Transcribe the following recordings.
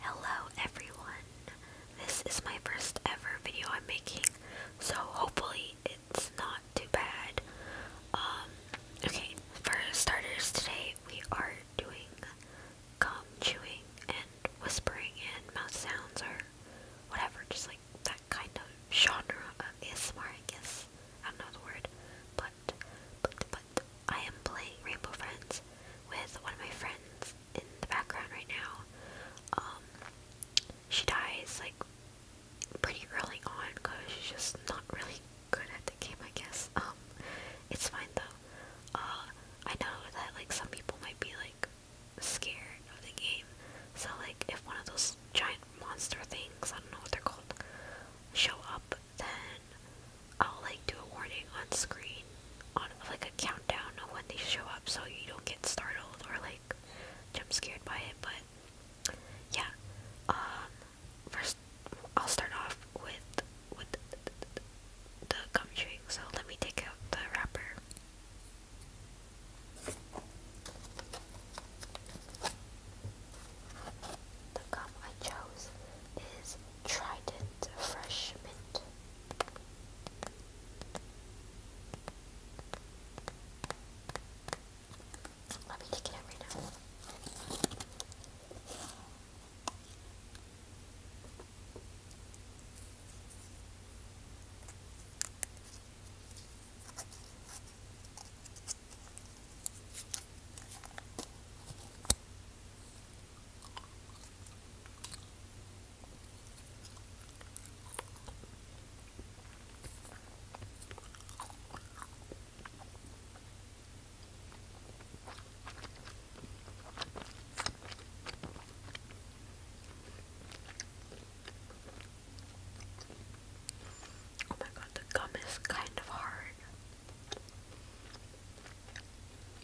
Hello everyone. This is my first ever video I'm making, so hopefully it's not too bad. Um, okay, for starters today we are doing gum chewing and whispering and mouth sounds or whatever, just like that kind of genre of ASMR I guess. I don't know the word, but but I am playing Rainbow Friends with one of my friends in the background right now. Um, she dies like pretty early on because she's just not really good at the game, I guess. Um, it's fine though. Uh, I know that like some people might be like scared of the game, so like if one of those giant monster things, I don't know what they're called, show up, then I'll like do a warning on screen on like a countdown of when they show up so you don't get startled or like jump scared by it but yeah um first I'll start off with with the gum chewing so let me take out the wrapper the gum I chose is Trident Fresh Mint. Let me take it out right now. Oh my god, the gum is kind of hard.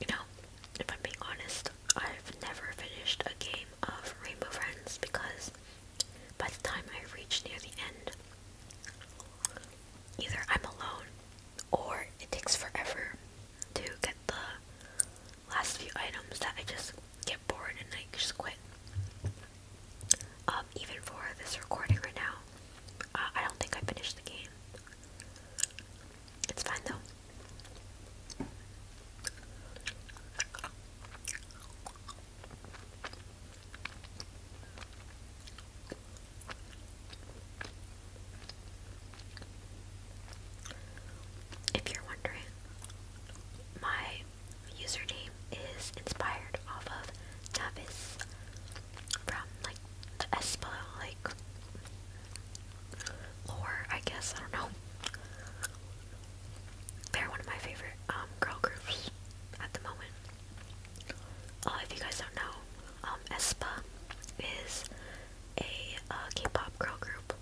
You know, if I'm being honest, I've never finished a game of Rainbow Friends because by the time I reach near the end, either I'm alone or it takes forever to get the last few items that I just get bored and I just quit. Um, even for this recording right now, uh, I don't think I finished the game. It's fine though. If you're wondering, my username is inspired off of Navis from like the Espa like lore, I guess, I don't know. They're one of my favorite um girl groups at the moment. Uh, if you guys don't know, um Espa is a uh, pop girl group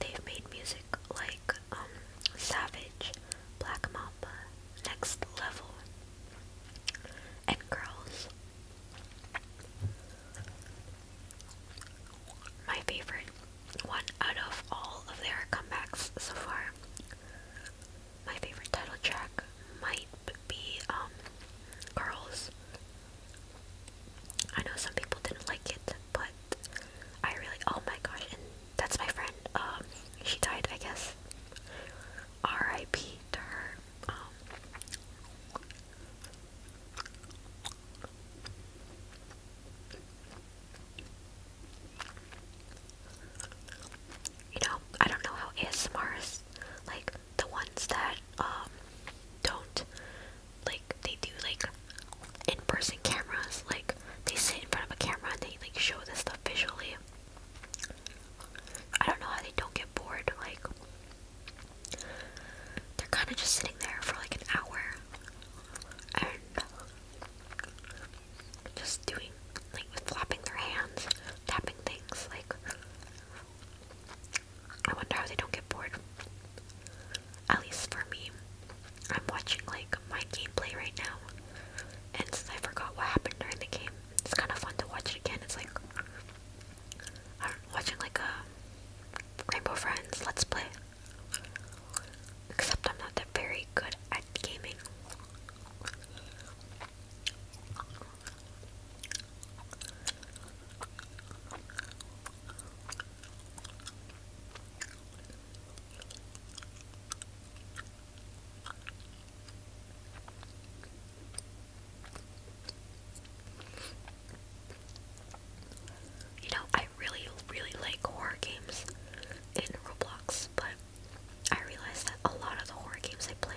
They've made music like um, Savage, Black Mamba, Next Level, and Girls. My favorite one out of all of their comebacks so far. My favorite title track might be um, Girls I know some people didn't like it, but I really, oh my gosh, and that's my friend, um, she died, I guess, R.I.P. to her, um, you know, I don't know how ASMRs, like, the ones that, um, don't like they do like in-person cameras like they sit in front of a camera and they like show this stuff visually i don't know how they don't get bored like they're kind of just sitting there for like an hour and just doing like with flapping their hands tapping things like I wonder how they don't get bored. At least for me. I'm watching like my gameplay right now. And since I forgot what happened during the game, it's kind of fun to watch it again. It's like I am watching like a Rainbow Friends Let's Play. Except I'm not that very good at gaming. You know, I really, really like horror games in Roblox, but I realize that a lot of the horror games I play,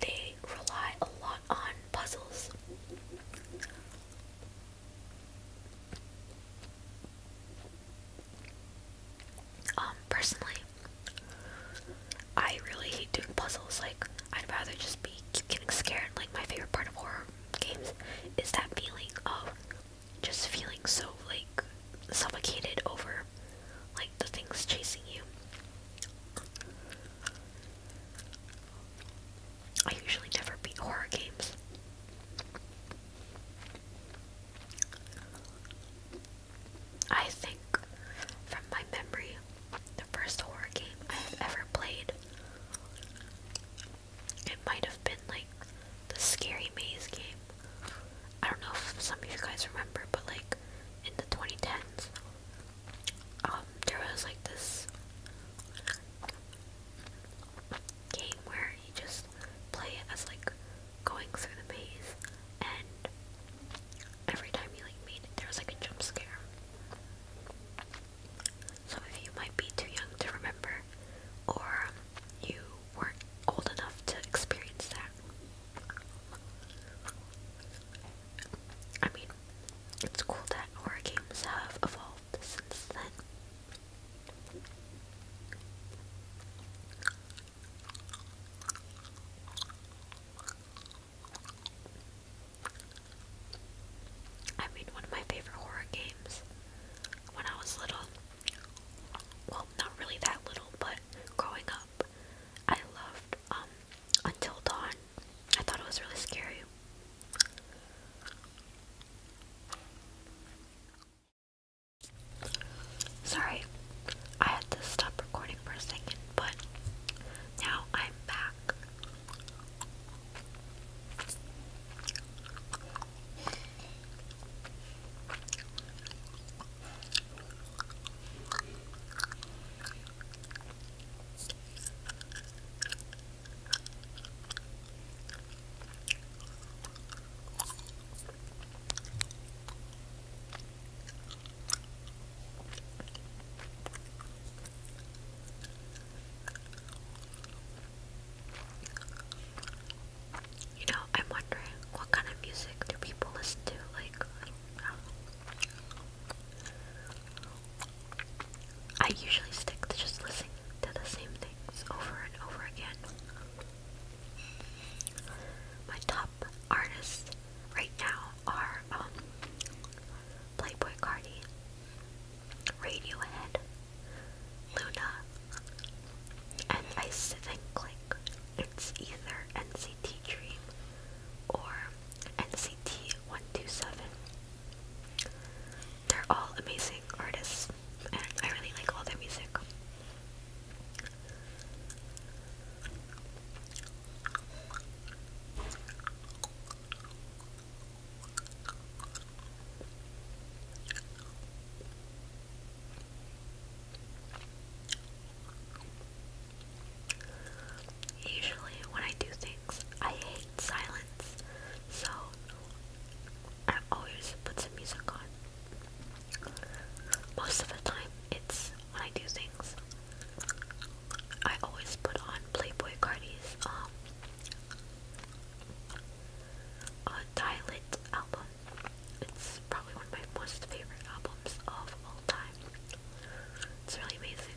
they rely a lot on puzzles. Um, personally, I really hate doing puzzles. Like, I'd rather just be getting scared. Like, my favorite part of horror games is that feeling of just feeling so like suffocated over like the things chasing you. I usually never beat horror games. I think, from my memory, the first horror game I've ever played, it might have been like the Scary Maze game. I don't know if some of you guys remember, but like in the 2010s, um, there was like this game where you just play as like going through the maze and every time you like made it there was like a jump scare. Some of you might be too young to remember or you weren't old enough to experience that. I mean, it's cool that horror games have evolved since then. I mean, one of my favorite horror games when I was little, well, not really that little, but growing up, I loved um, Until Dawn. I thought it was really scary. Sorry, I had to stop recording for a second, but now I'm back. You know, I'm wondering what kind of music do people listen to? Like, I usually stick to just listening to the same things over and over again. My top artists right now are um, Playboy Cardi, Radiohead, Luna, and I think like it's either NCT Dream or NCT 127. They're all amazing artists, and I really like all their music usually when I do things, I hate silence, so I always put some music on. Most of the time, it's when I do things. I always put on Playboy Cardi's um, uh, Dilit album. It's probably one of my most favorite albums of all time. It's really amazing.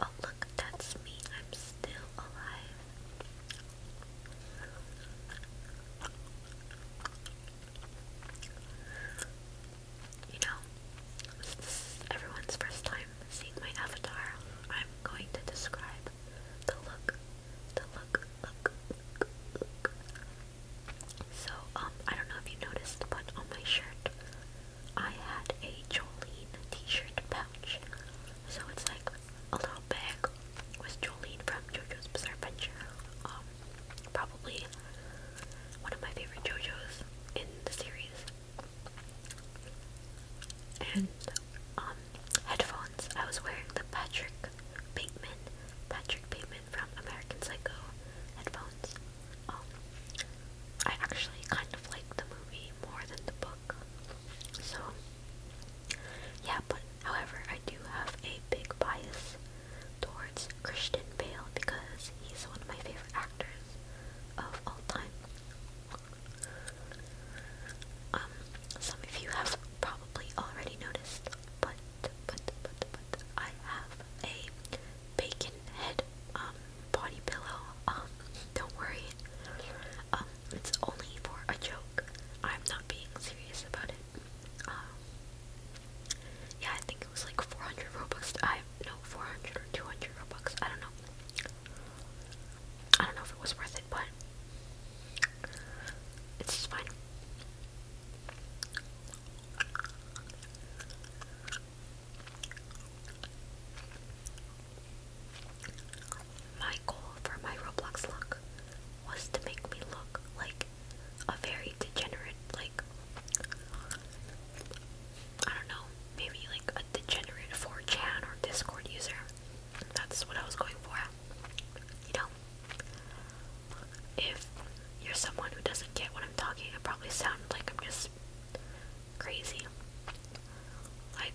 Oh, look, that's me. I'm still alive. You know, everyone's first time seeing my avatar, I'm going to describe the look, the look, look, look. So, um, I don't know if you noticed, but on my shirt, I had a Jolene t-shirt pouch. So it's like a little bag was Jolene from JoJo's Bizarre Adventure. Um, probably one of my favorite JoJo's in the series. And um, headphones. I was wearing the Patrick Bateman, Patrick Bateman from American Psycho headphones. Um, I actually kind of like the movie more than the book, so yeah, but however, I do have a big bias towards Christian Bale because he's one of my favorite actors of all time. Um, some of you have probably already noticed, but but but but I have a bacon head um body pillow. Um, don't worry. Um, it's only for a joke. I'm not being serious about it. Um, yeah, I think it was like 400 Robux. I no 400 or 200 Robux. I don't know. I don't know if it was worth it, but it's just fine my goal for my Roblox look was to make me look like a very degenerate, like, I don't know, maybe like a degenerate 4chan or Discord user. That's what I was going for. You know, if you're someone who doesn't get what I'm talking, I probably sound like I'm just crazy. Like,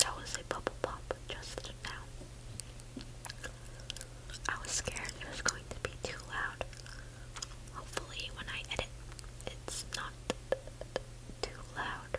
That was a bubble pop just now. I was scared it was going to be too loud. Hopefully when I edit, it's not too loud.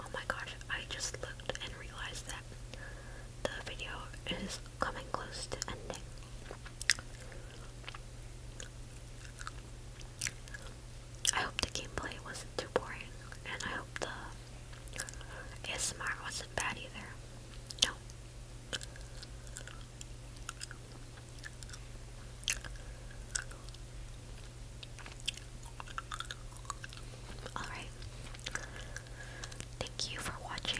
Oh my gosh, I just looked and realized that the video is coming close to ending. I hope the gameplay wasn't too boring, and I hope the ASMR wasn't bad either. No. Alright. Thank you for watching.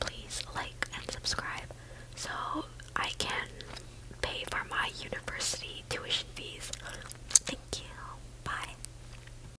Please like and subscribe so I can pay for my university tuition fees. Thank you. Bye.